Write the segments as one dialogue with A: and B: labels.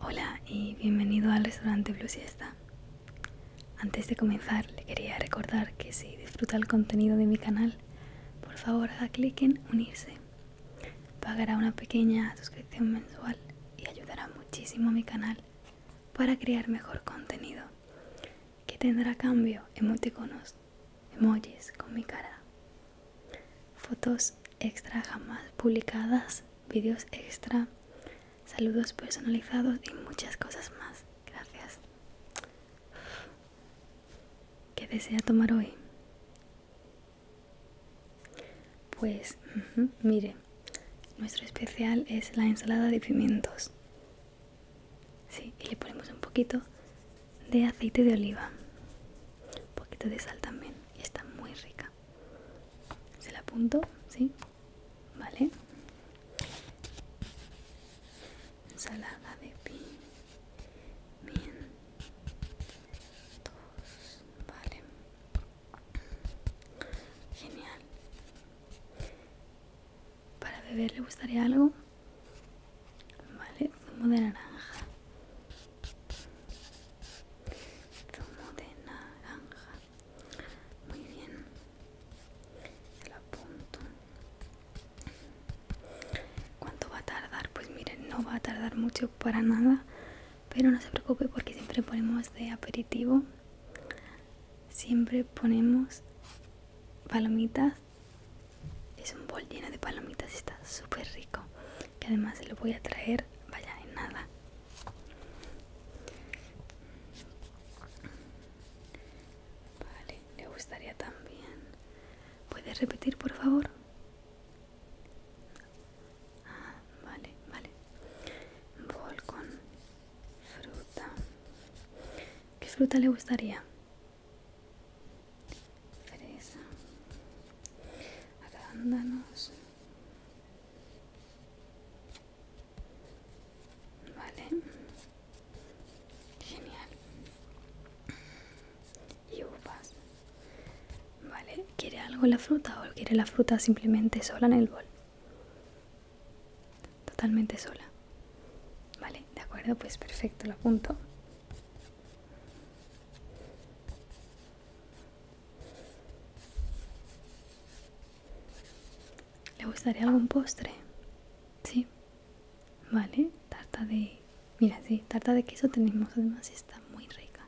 A: Hola y bienvenido al restaurante Blue Siesta. Antes de comenzar, le quería recordar que si disfruta el contenido de mi canal, por favor haga clic en unirse. Pagará una pequeña suscripción mensual y ayudará muchísimo a mi canal para crear mejor contenido que tendrá cambio, emoticonos, emojis con mi cara, fotos extra jamás publicadas, vídeos extra, saludos personalizados y muchas cosas más. Gracias. ¿Qué desea tomar hoy? Pues, mire, nuestro especial es la ensalada de pimientos. Sí, y le ponemos un poquito de aceite de oliva, un poquito de sal también, está muy rica. Se la apunto, ¿sí? Vale. Ensalada de pimientos, vale. Genial. Para beber le gustaría algo. Vale, zumo de naranja. Zumo de naranja. Muy bien. Se apunto. ¿Cuánto va a tardar? Pues miren, no va a tardar mucho para nada. Pero no se preocupe porque siempre ponemos de aperitivo siempre ponemos palomitas. Es un bol lleno de palomitas, está súper rico. Que además se lo voy a traer, vaya, en nada. Vale, le gustaría también. ¿Puede repetir, por favor? Ah, vale, vale. Bol con Fruta. ¿Qué fruta le gustaría? Fresa. Arándanos. Vale. Genial. Y uvas. Vale. ¿Quiere algo la fruta o quiere la fruta simplemente sola en el bol? Totalmente sola. Vale, de acuerdo, pues perfecto, lo apunto. ¿Le gustaría algún postre? Sí. Vale, tarta de... Mira, sí, tarta de queso tenemos, además está muy rica.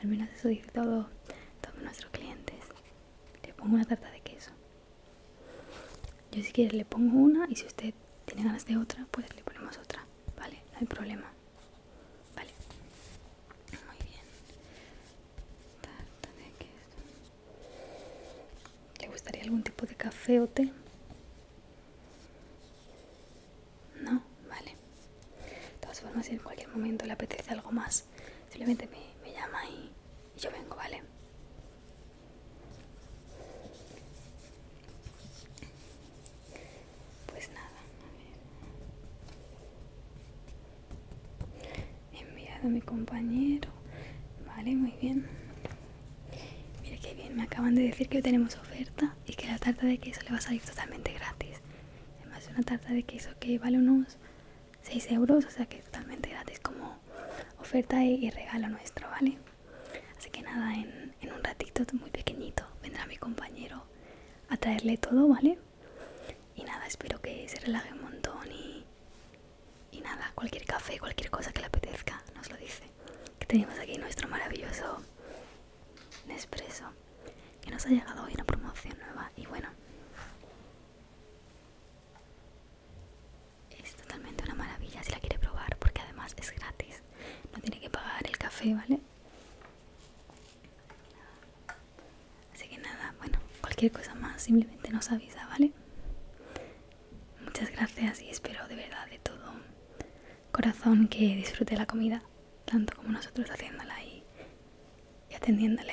A: Al menos eso dice todo, todos nuestros clientes le pongo una tarta de queso. Yo si quiere le pongo una y si usted tiene ganas de otra, pues le ponemos otra, ¿vale? No hay problema. Vale. Muy bien. Tarta de queso. ¿Le gustaría algún tipo de café o té? No, vale. De todas formas, si en cualquier momento le apetece algo más, simplemente me, llama y, yo vengo, ¿vale? Pues nada, a ver. enviado a mi compañero. Vale, muy bien. Mira qué bien, me acaban de decir que tenemos oferta y que la tarta de queso le va a salir totalmente gratis además una tarta de queso que vale unos 6 euros o sea que es totalmente gratis como oferta y, regalo nuestro vale así que nada en, un ratito muy pequeñito vendrá mi compañero a traerle todo vale y nada espero que se relaje un montón y, y nada cualquier café cualquier cosa que le apetezca nos lo dice que tenemos aquí nuestro maravilloso Nespresso que nos ha llegado hoy una promoción nueva y bueno es totalmente una maravilla si la quiere probar porque además es gratis no tiene que pagar el café vale así que nada bueno cualquier cosa más simplemente nos avisa vale muchas gracias y espero de verdad de todo corazón que disfrute la comida tanto como nosotros haciéndola y, y atendiéndole.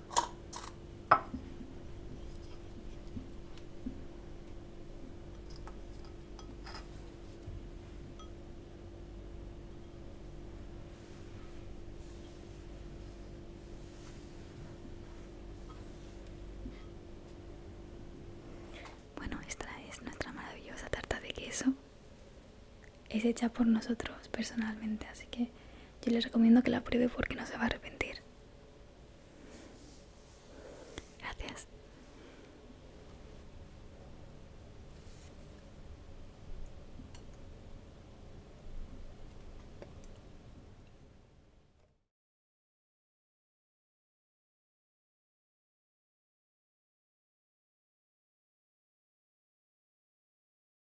A: Bueno, esta es nuestra maravillosa tarta de queso. Es hecha por nosotros personalmente, así que yo les recomiendo que la pruebe porque no se va a arrepentir. Gracias.